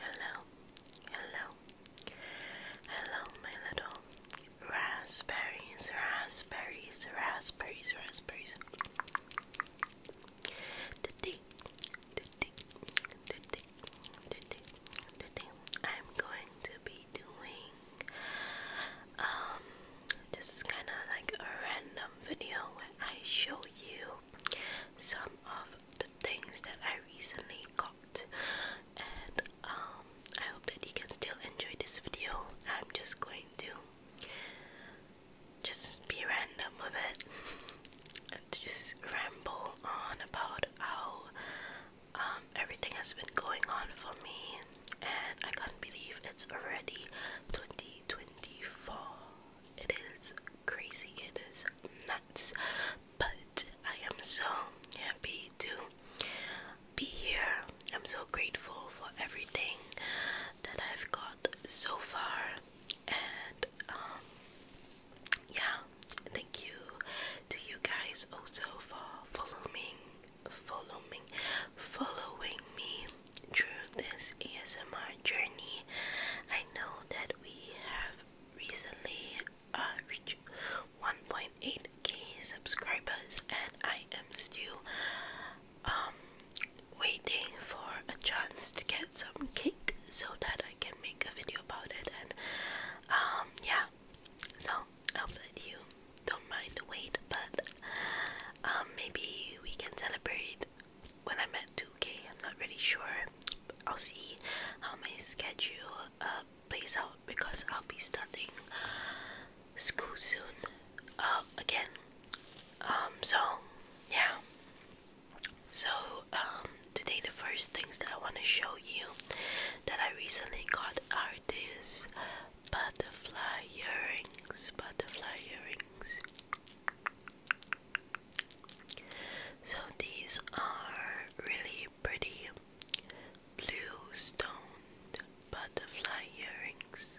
Hello, hello, hello, my little raspberries, raspberries, raspberries, raspberries. Today, today, today, today, today, I'm going to be doing um, this kind of like a random video where I show you some of the things that I recently got and um, I hope that you can still enjoy this video. I'm just going to just be random with it and just ramble on about how um, everything has been going on for me and I can't believe it's already 2024 it is crazy, it is nuts, but I am so happy to be here. I'm so grateful for everything that I've got so far, and um, yeah, thank you to you guys also for following, following, following me through this ASMR journey. I know that we have recently uh, reached 1.8k subscribers, and I am still um, waiting for a chance to get some cake so that I can make a video about it. And um, yeah, so I hope that you don't mind the wait, but um, maybe we can celebrate when I'm 2k. I'm not really sure. I'll see how my schedule uh, plays out because I'll be starting school soon uh, again. Um, so yeah. So um, today the first things that I want to show you that I recently got are these butterfly earrings. Butterfly earrings. So these are really pretty blue stoned butterfly earrings,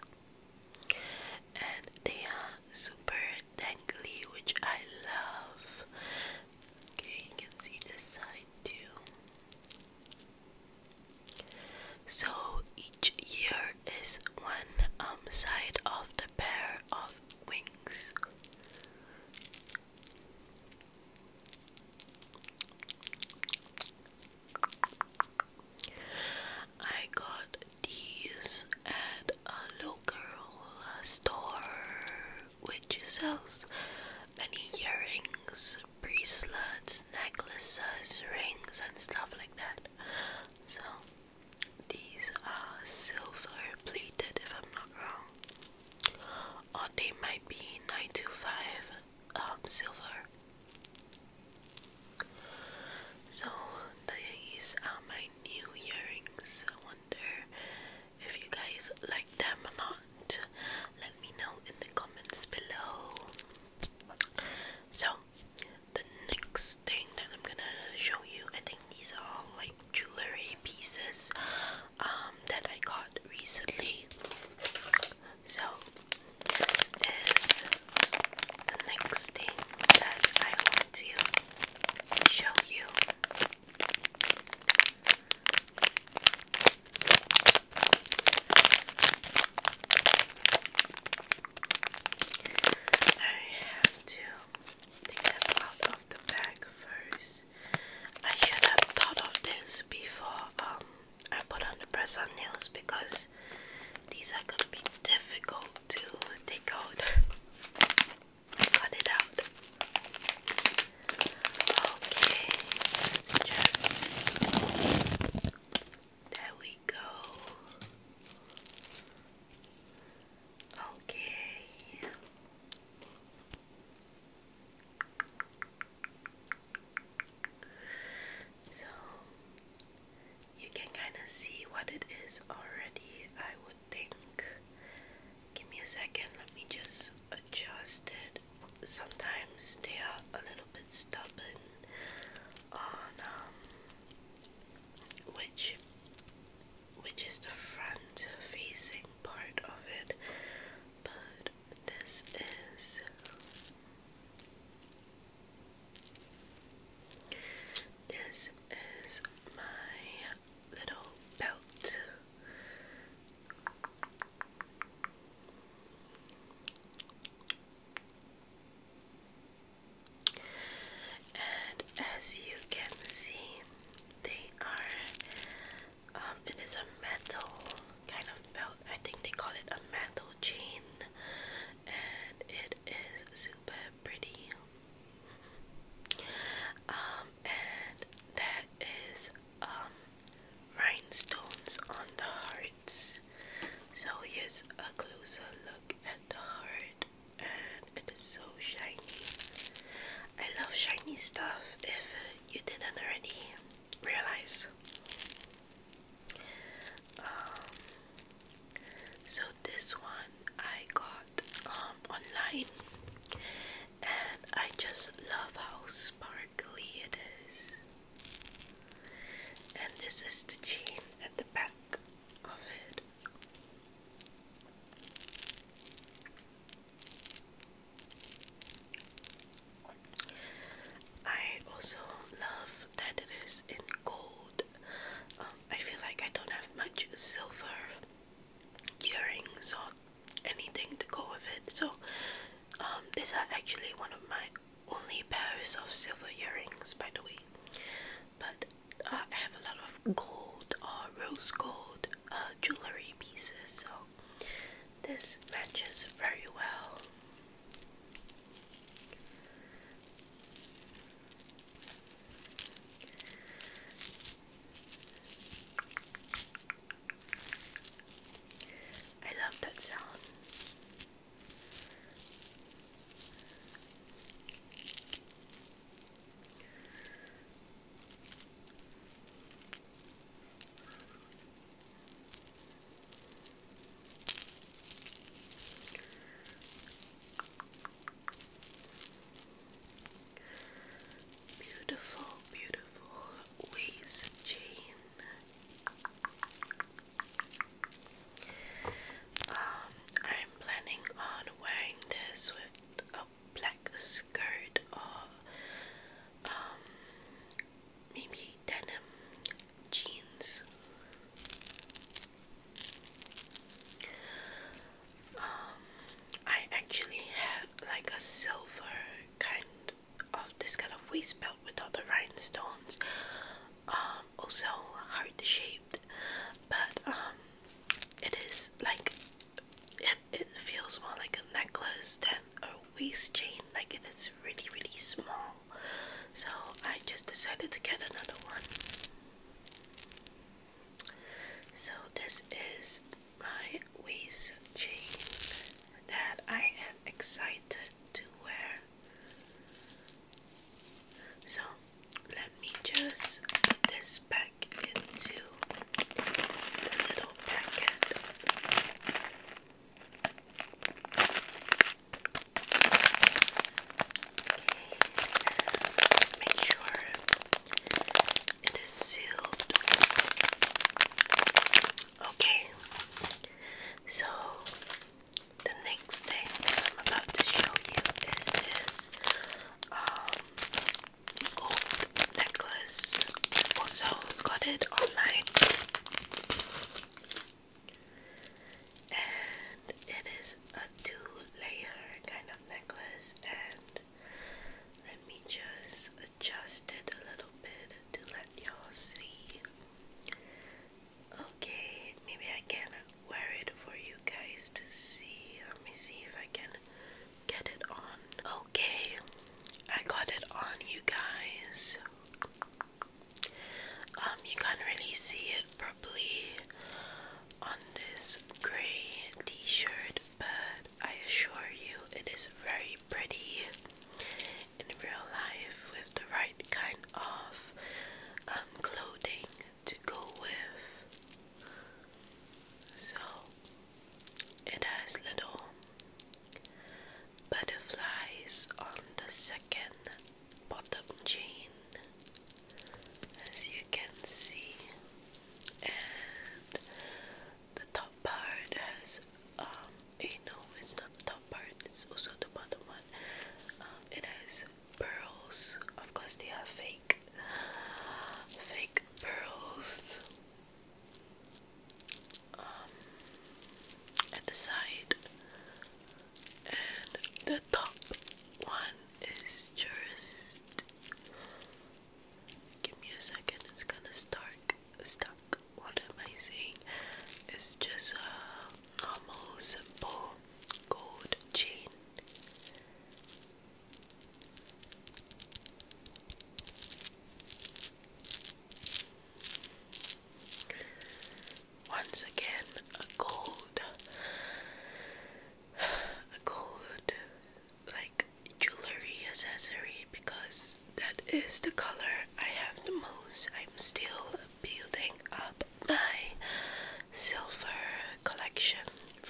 and they are super dangly, which I love. Okay, you can see this side too. So each year is one um, side of the pair of wings. I got these at a local store which sells many earrings, bracelets, necklaces, rings, and stuff like that. So these are silver plated, if I'm not wrong, or they might be 925 um, silver. So, these are my new earrings. I wonder if you guys like them or not. Let me know in the comments below. So, the next thing that I'm gonna show you, I think these are all like jewelry pieces um, that I got recently. So this is the next thing that I want to show you. I have to take them out of the bag first. I should have thought of this before um, I put on the press on nails because these are gonna be difficult to take out. I got it out. Okay, let's just there we go. Okay. So you can kind of see what it is already, I would think. Give me a second, let me just adjust it. Sometimes they are a little bit stubborn, on um, which which is the front facing part of it but this is this is my little belt and as you can see, they are, um, it is a metal kind of belt. I think they call it a metal chain, and it is super pretty. Um, and that is, um, rhinestones on the heart. So here's a closer look at the heart, and it is so shiny. I love shiny stuff if you didn't already realize. Um, so this one I got um, online, and I just love how sparkly sparkly it is. And this is the chain at the back of it. I also love that it is in gold. Um, I feel like I don't have much silver earrings or anything to go with it, so um, these actually one of my only pairs of silver earrings, by the way, but I have a lot of gold or uh, rose gold uh, jewelry pieces, so this matches very well. I love that sound. Beautiful, beautiful waist chain. Um, I'm planning on wearing this with a black skirt or um, maybe denim jeans. Um, I actually had like a silver kind of this kind of waist belt without the rhinestones. Um, also heart shaped, but um, it is like it, it feels more like a necklace than a waist chain. Like it is really really small, so I just decided to get another one. So this is my waist chain that I am excited to wear. So let me just put this back into the little packet. make sure it is sealed. Okay, so the next thing that I'm about to show you is this um, gold necklace. Also got it online, and it is a two-layer kind of necklace. And let me just adjust a little bit to let y'all see. Okay, maybe I can wear it for you guys to see. Let me see if I can get it on. Okay, I got it on, you guys. Um, you can't really see it properly on this gray t-shirt but I assure you it is very pretty in real life with the right kind of um, clothing to go with. So it has little butterflies on the second bottom chain, as you can see, and the top part has um no it's not the top part it's also the bottom one um, it has pearls of course they are fake fake pearls um, at the side and the top one is just Give me a second, it's gonna start stuck. What am I saying? It's just a normal, simple gold chain. Once again, a gold, a gold like jewelry accessory because that is the color I have the most. I'm still building up my silver collection,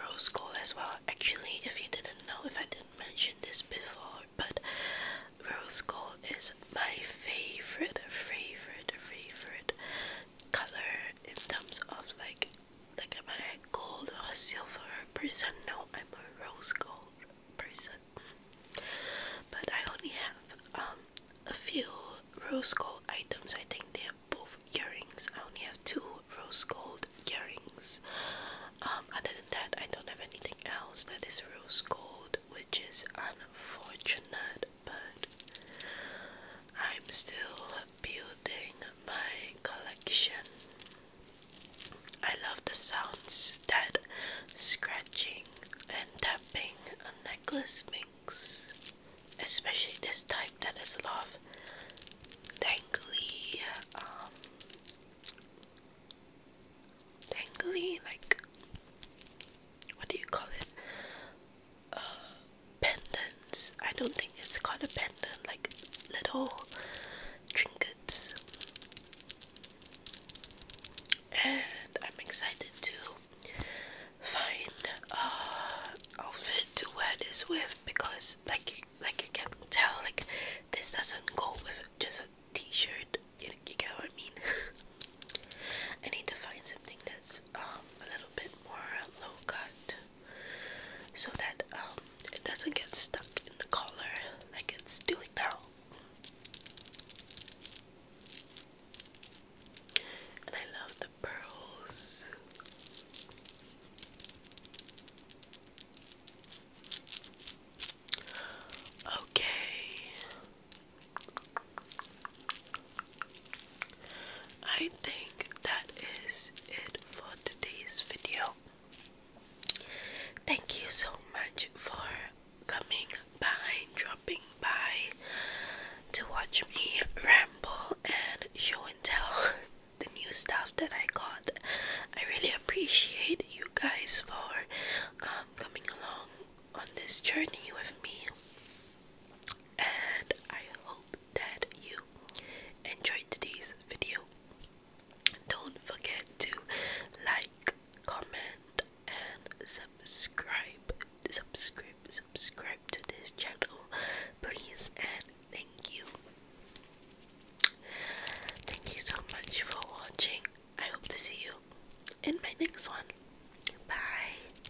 rose gold as well. Actually, if you didn't know, if I didn't mention this before, but rose gold is my favorite, favorite, favorite color in terms of like like I'm either a gold or silver person. No, I'm a rose gold person. But I only have um a few rose gold items. I think they are both earrings. I only have two rose gold earrings. Um, other than that, I don't have anything else that is rose gold, which is unfortunate. But I'm still building my collection. I love the sounds that scratching and tapping a necklace makes, especially this type that is a lot tangly, um, dangly, like, what do you call it? Uh, pendants. I don't think it's called a pendant, like little trinkets. And I'm excited to find a outfit to wear this with because, like, you, like you can tell, like this doesn't go with just a t-shirt. You, you get what I mean? I need to find something that's um a little bit more low cut so that um, it doesn't get stuck in the collar like it's doing now. And I love the pearls. Okay. I think that is it for today's video. Thank you so much for coming by, dropping by to watch me ramble and show and tell the new stuff that I got. I really appreciate you guys for um, coming along on this journey with me and I hope that you enjoyed today's video. Don't forget to like, comment, and subscribe. Subscribe, subscribe to this channel, please. And thank you. Thank you so much for watching. I hope to see you in my next one. Bye.